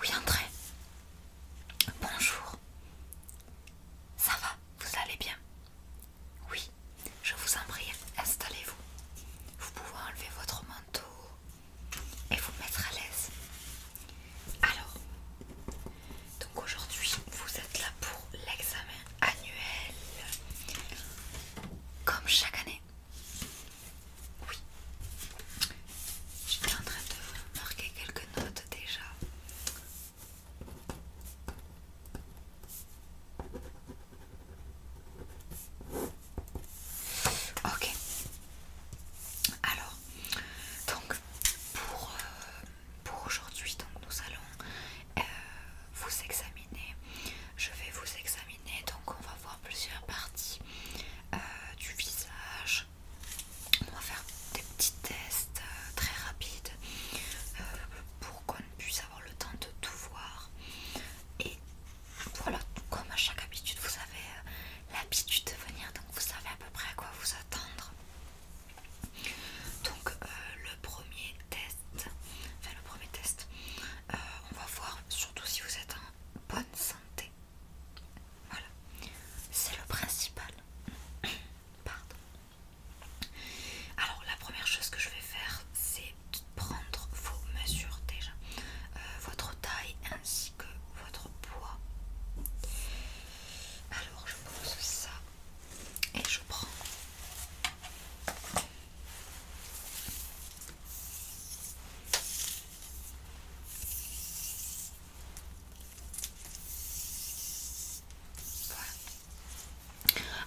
Oui, André. Bonjour. Ça va, vous allez bien Oui, je vous en prie, installez-vous. Vous pouvez enlever votre manteau et vous mettre à l'aise. Alors, donc aujourd'hui, vous êtes là pour l'examen annuel, comme chaque année. Oui, j'étais en train de marquer quelques notes déjà. Ok, alors, donc pour euh, pour aujourd'hui, nous allons euh, vous examiner. Je vais vous examiner, donc on va voir plusieurs parties euh, du visage. On va faire des petits tests euh, très rapides pour qu'on puisse avoir le temps de tout voir. Et voilà, comme à chaque habitude, vous avez l'habitude de venir, donc vous savez à peu près à quoi vous attendre. Donc euh, le premier test, enfin le premier test, euh, on va voir surtout si vous êtes en bonne santé. Voilà, c'est le principal. Pardon. Alors la première chose que je vais faire, c'est prendre vos mesures déjà, euh, votre taille ainsi que votre poids. Alors je pose ça et je prends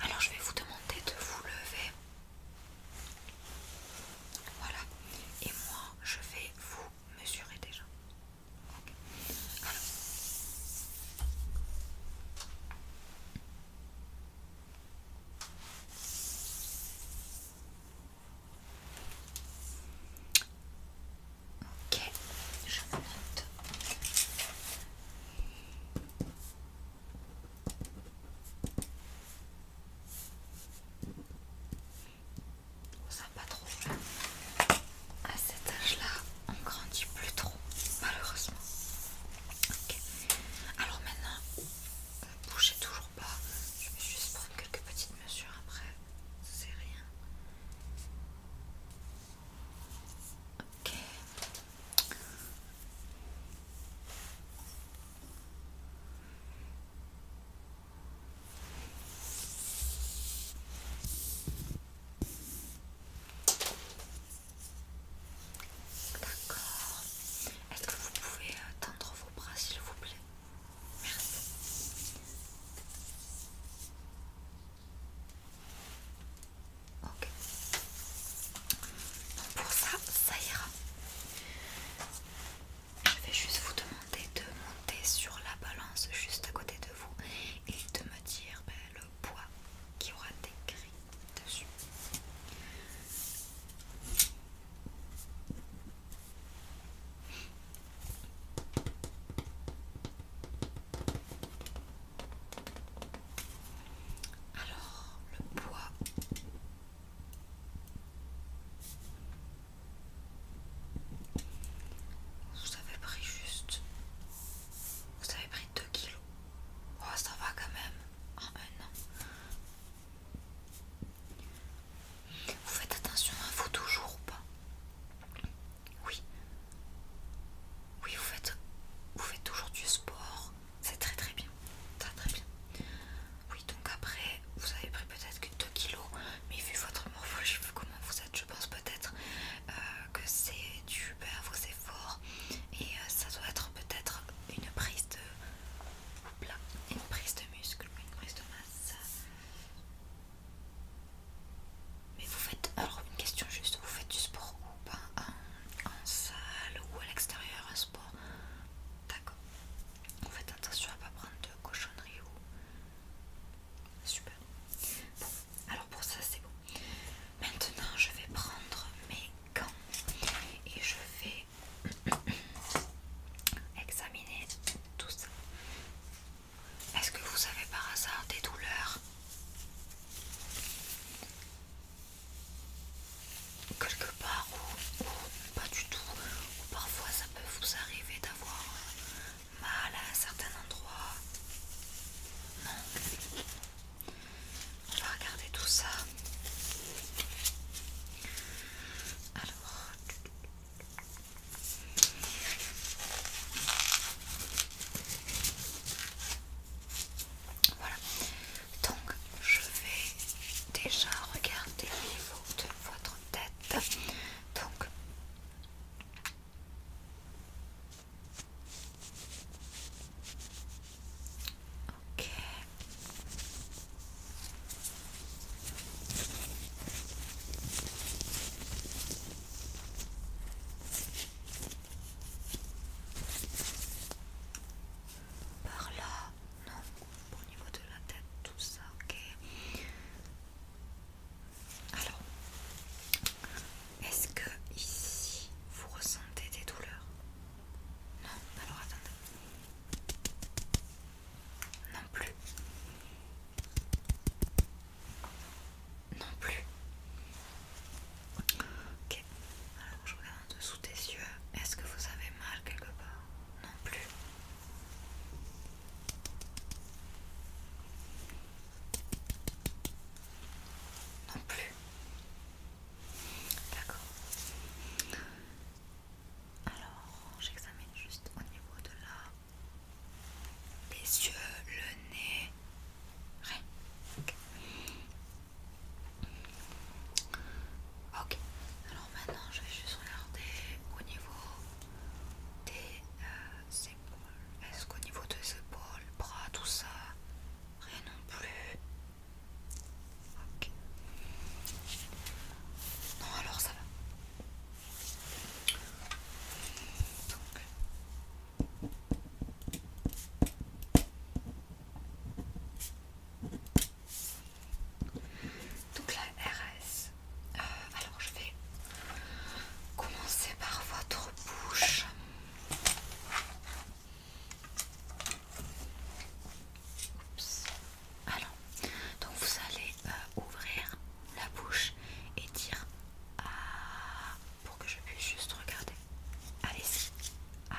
Alors je vais vous demander de vous lever. Voilà. Et moi, je vais vous mesurer déjà. Ok, je note. On ne sait pas trop à cet âge-là, on grandit plus trop, malheureusement. Alors maintenant, ne bougez toujours pas. Je vais juste prendre quelques petites mesures après. C'est rien. Ok. D'accord. Est-ce que vous pouvez euh, tendre vos bras s'il vous plaît Merci. Ok. pour ça, ça ira. Je vais juste vous demander de monter sur la balance juste à côté de vous et de me dire ben, le bois qui aura des grilles dessus. Alors, le bois. Vous avez pris juste. Vous pris 2 kilos. Oh, ça va quand même. En ah, un an. Vous faites attention à hein, vous toujours ou pas Oui. Oui, vous faites, vous faites toujours du sport. C'est très très bien. Très très bien. Oui, donc après, vous avez pris peut-être que 2 kilos. Mais vu votre morphologie, vu comment vous êtes, je pense peut-être euh, que c'est du à vos efforts et euh, ça doit être peut-être une prise de plat une prise de muscle, une prise de masse. Mais vous faites alors une question juste, vous faites du sport ou pas en, salle ou à l'extérieur un sport D'accord. Vous faites attention à pas prendre de cochonnerie ou super. alors pour ça c'est bon. Maintenant, je vais prendre mes gants et je vais examiner tout ça. Est-ce que vous avez par hasard des douleurs Quelque part ou, pas du tout, ou parfois ça peut vous arriver d'avoir mal à un certain endroit. Non on va regarder tout ça. Alors. Voilà. Donc, je vais déjà regarder Le niveau de votre tête. Donc, par là, non, au niveau de la tête, tout ça, ok. Alors, est-ce que ici vous ressentez des douleurs Non, alors attendez. Non plus. Non plus. Ok. Alors je regarde en dessous des yeux. Est-ce que vous avez mal quelque part Non plus. Non plus. D'accord. Alors, j'examine juste au niveau de là. Les yeux, le nez. Rien. Ok. Alors maintenant, je vais juste regarder au niveau des euh, épaules. Est-ce qu'au niveau des épaules, bras, tout ça, Rien non plus. Non, alors ça va. Donc. Euh, la RS. Euh, alors je vais commencer par votre bouche. Alors, donc vous allez euh, ouvrir la bouche et dire ah pour que je puisse juste regarder. Allez-y. Ah.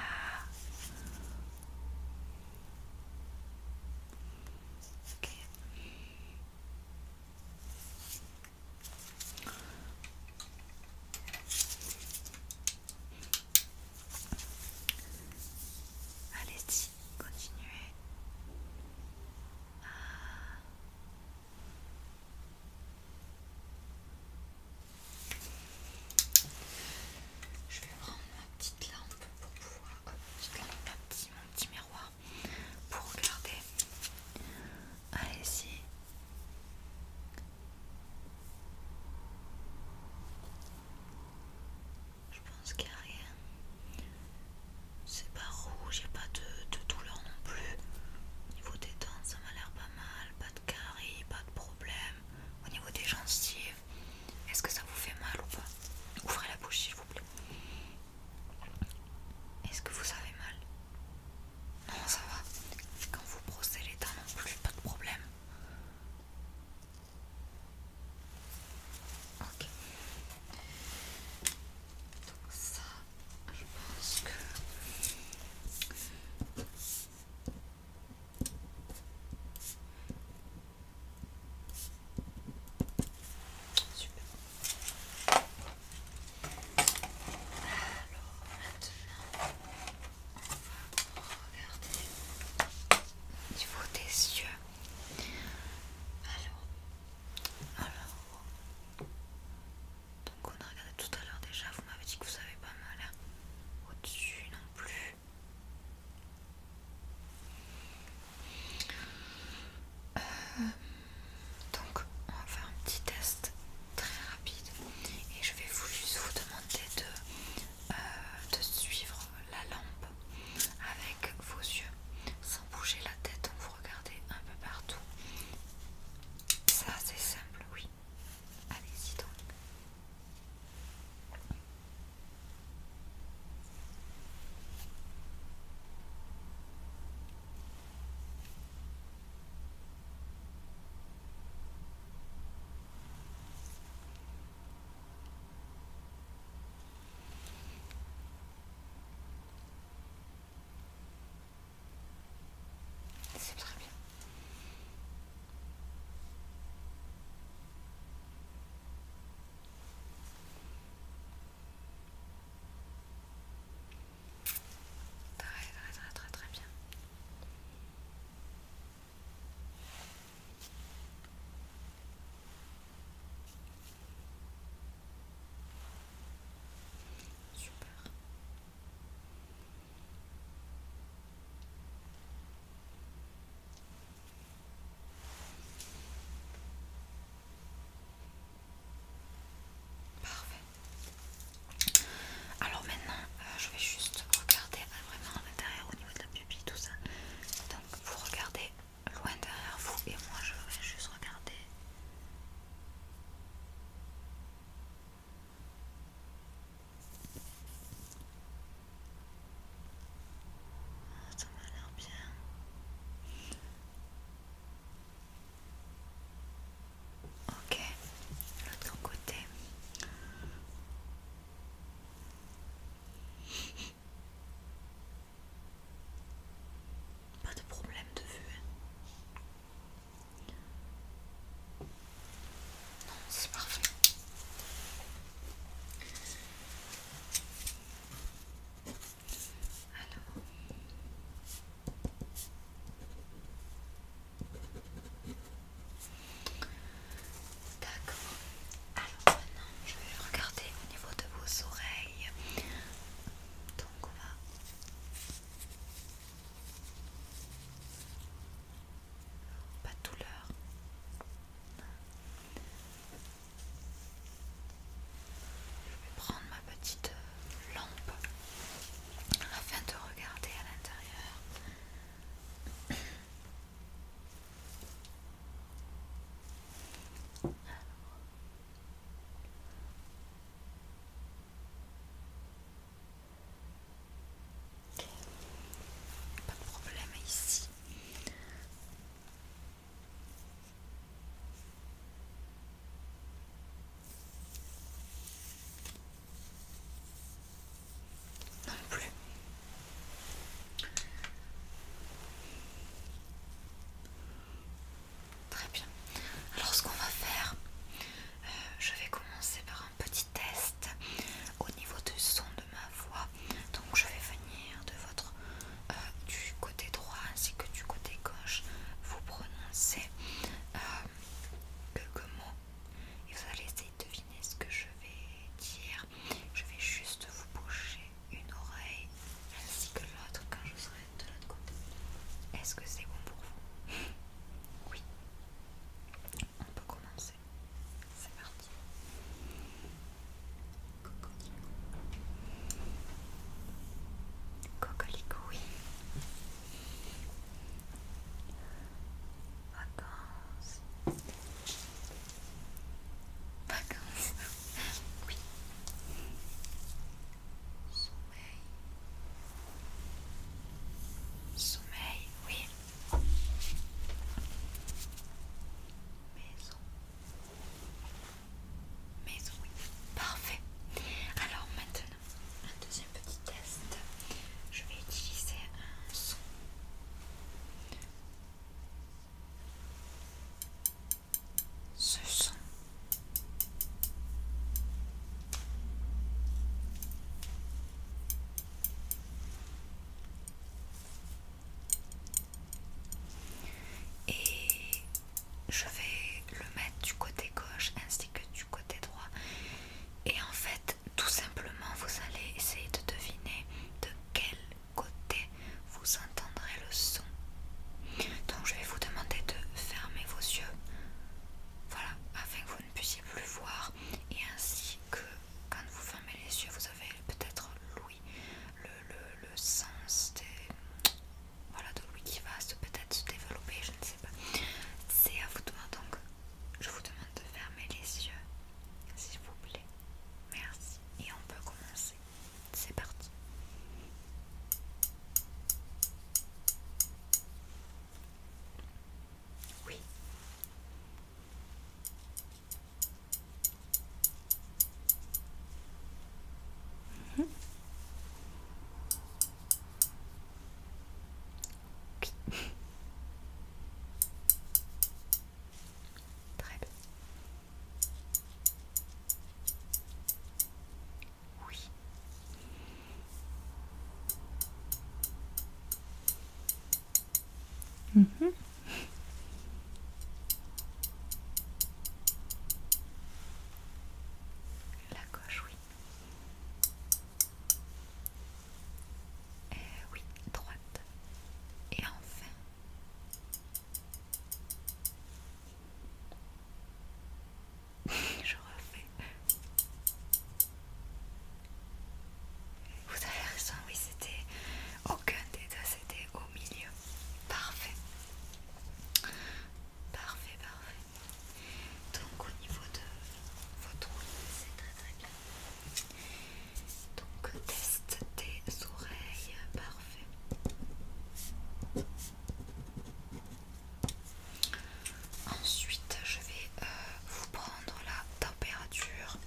Allez-y, continuez. Je vais prendre ma petite lampe pour pouvoir, Je euh, petite ma mon petit miroir pour regarder allez ah, si. Je pense qu'il n'y a rien. C'est pas rouge, il n'y a pas de, de douleur non plus. Au niveau des dents, ça m'a l'air pas mal. Pas de caries, pas de problème. Au niveau des gencives, est-ce que ça vous fait mal ou pas Ouvrez la bouche s'il vous plaît. Est-ce que vous avez mal non, ça va. Quand vous brossez les dents non plus, pas de problème. Ok. Donc ça, je pense que... Super. Alors maintenant, on va regarder au niveau des yeux. Alors, donc on a regardé tout à l'heure déjà, vous m'avez dit que vous avez pas mal hein. au-dessus non plus. Euh, donc on va faire un petit test très rapide et je vais vous juste vous demander de, euh, de suivre la lampe avec vos yeux sans bouger la tête vous regardez un peu partout ça c'est simple oui allez-y donc c'est très bien. Très très très très très bien. Super. Parfait. Alors maintenant, euh, je vais juste regarder euh, vraiment à l'intérieur au niveau de la pupille, tout ça. Donc vous regardez loin derrière vous et moi je vais juste regarder. ça m'a l'air bien. Ok, l'autre côté. Pas de problème de vue. Non, c'est parfait. Alors. D'accord. Alors maintenant, je vais regarder au niveau de vos oreilles. Donc on va... Pas de douleur. Je vais prendre ma petite lampe afin de regarder à l'intérieur. Pas de problème ici. Non plus. Très bien. Alors ce qu'on va faire, euh, je vais commencer par un petit test au niveau du son de ma voix. Donc je vais venir de votre euh, du côté droit ainsi que du côté gauche vous prononcer euh, quelques mots et vous allez essayer de deviner ce que je vais dire. Je vais juste vous boucher une oreille ainsi que l'autre quand je serai de l'autre côté. Est-ce que c'est bon pour vous Oui. On peut commencer. C'est parti. Cocolico. Cocolico, oui. Vacances. Vacances. oui. Sommeil. Sommeil, oui. Maison. Maison, oui. Parfait. Alors maintenant, un deuxième petit test. Je vais utiliser un son. Ce son. Et je vais le mettre du côté gauche ainsi que du côté droit et en fait, tout simplement, vous allez essayer de deviner de quel côté vous entendrez le son. Donc je vais vous demander de fermer vos yeux, voilà, afin que vous ne puissiez plus voir, et ainsi que quand vous fermez les yeux, vous avez peut-être l'ouïe, le, sens de l'ouïe qui va peut-être se développer, je ne sais pas. C'est à vous de voir donc. Je vous demande de fermer les yeux, s'il vous plaît. Merci. Et on peut commencer. C'est parti. Oui. Mhm. Oui. Très bien. Oui. Mmh. La gauche, oui. Euh, oui, droite. Et enfin... Je refais. Vous avez raison, oui, c'était aucun des deux, c'était au milieu. Parfait. Parfait, parfait. Donc au niveau de votre oreille, c'est très très bien. Donc test des oreilles, parfait. Ensuite, je vais euh, vous prendre la température.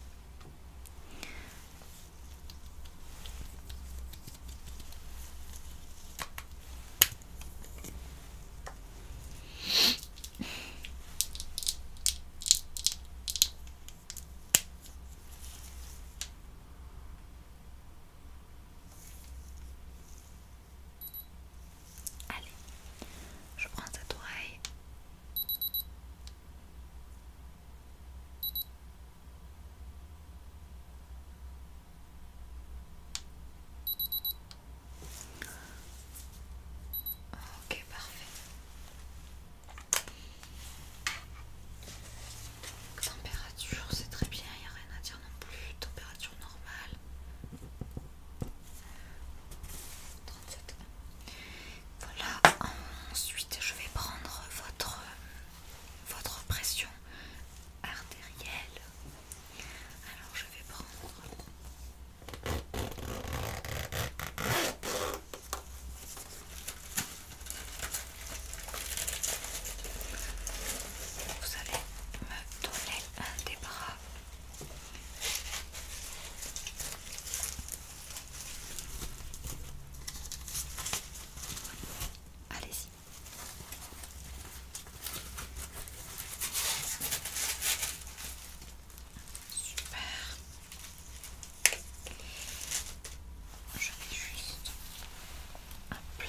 Allez, je prends cette oreille. Ok, parfait. Température, c'est très bien, il n'y a rien à dire non plus. Température normale. 37. Voilà, ensuite je vais prendre votre, votre pression artérielle. Alors je vais prendre vous allez me donner un des bras. Allez-y. Super. Je vais juste un plat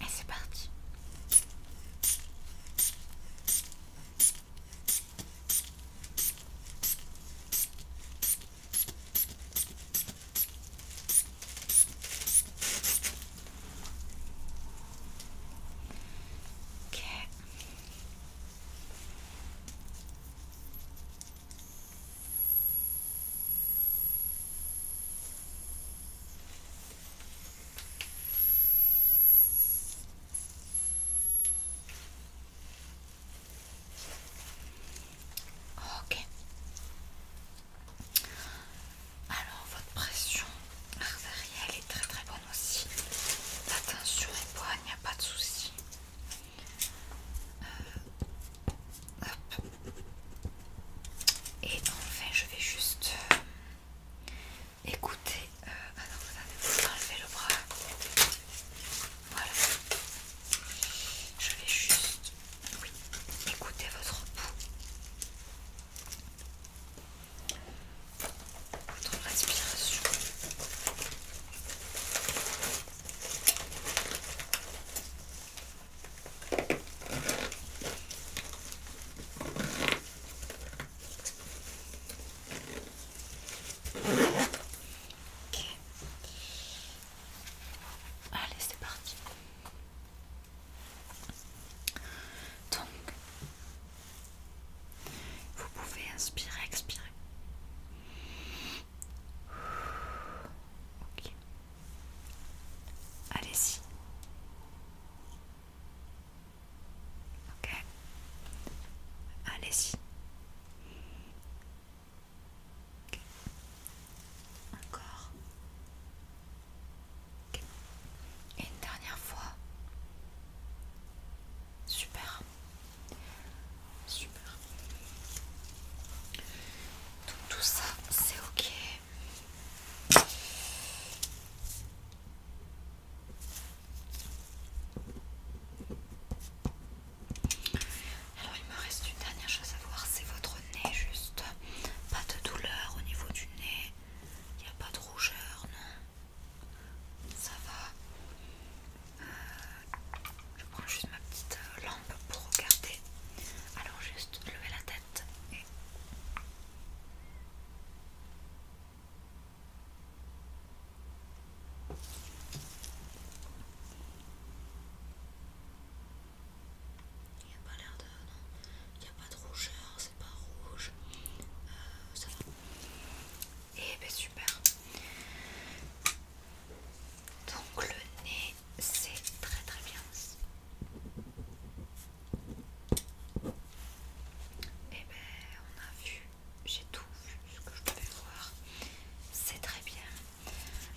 et c'est parti. Okay. Ok. Alors votre pression artérielle est très très bonne aussi. Attention, tension est il n'y a pas de souci. Euh, Et enfin, je vais juste euh, écouter. Euh, ah non, le bras. Voilà. Je vais juste écouter votre pouls. Votre respiration. Allez, c'est parti. Donc, vous pouvez inspirer, expirer. Allez-y. Allez-y. Encore. Et une dernière fois. Super. Super. Donc, tout ça, c'est ok. Alors il me reste une dernière chose à voir, c'est votre nez juste. Pas de douleur au niveau du nez. Il n'y a pas de rougeur, non Ça va euh, je prends juste ma petite euh, lampe pour regarder. Alors juste lever la tête et... Il n'y a pas l'air de... Non, il n'y a pas de rougeur, c'est pas rouge. Euh, ça va. Et eh ben super. Donc le nez, c'est très très bien eh ben on a vu, j'ai tout vu ce que je pouvais voir. C'est très bien.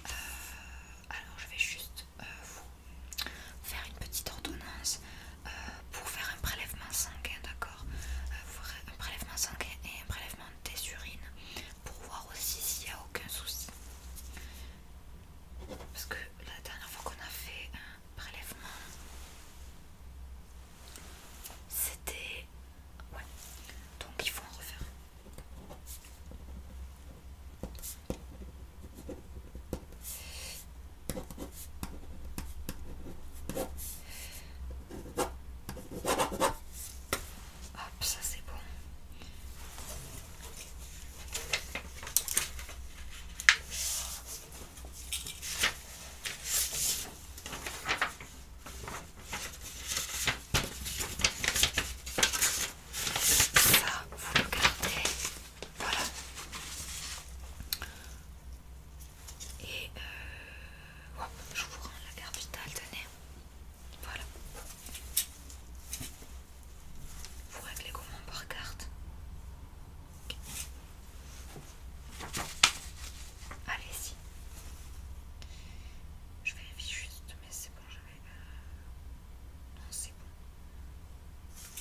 Euh, alors je vais juste euh, vous faire une petite ordonnance euh, pour faire un prélèvement sanguin, d'accord Un prélèvement sanguin et un prélèvement des urines pour voir aussi s'il n'y a aucun souci. Parce que la dernière fois qu'on a fait un prélèvement, c'était... Donc il faut en refaire. Hop, ça c'est bon. Ça, vous le gardez. Voilà. Et euh, je vous rends la carte vitale, tenez. Voilà. Vous réglez comment par carte Allez-y. Je vérifie juste, mais c'est bon, j'avais. Euh, non, c'est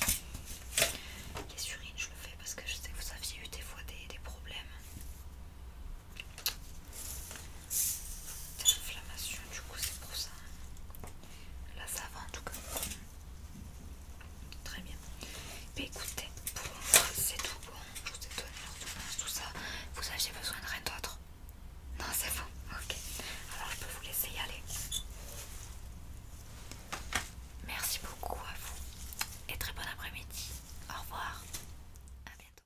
bon. Les surines, je le fais parce que je sais que vous aviez eu des fois des problèmes. Inflammation, l'inflammation, du coup, c'est pour ça. Hein. Là, ça va en tout cas. Très bien. Mais ben, écoutez, pour moi, c'est tout bon. Je vous ai donné l'ordonnance, tout ça. Vous avez besoin de rien d'autre Non, c'est bon. Ok. Alors, je peux vous laisser y aller. Merci beaucoup à vous et très bon après-midi. Au revoir. À bientôt.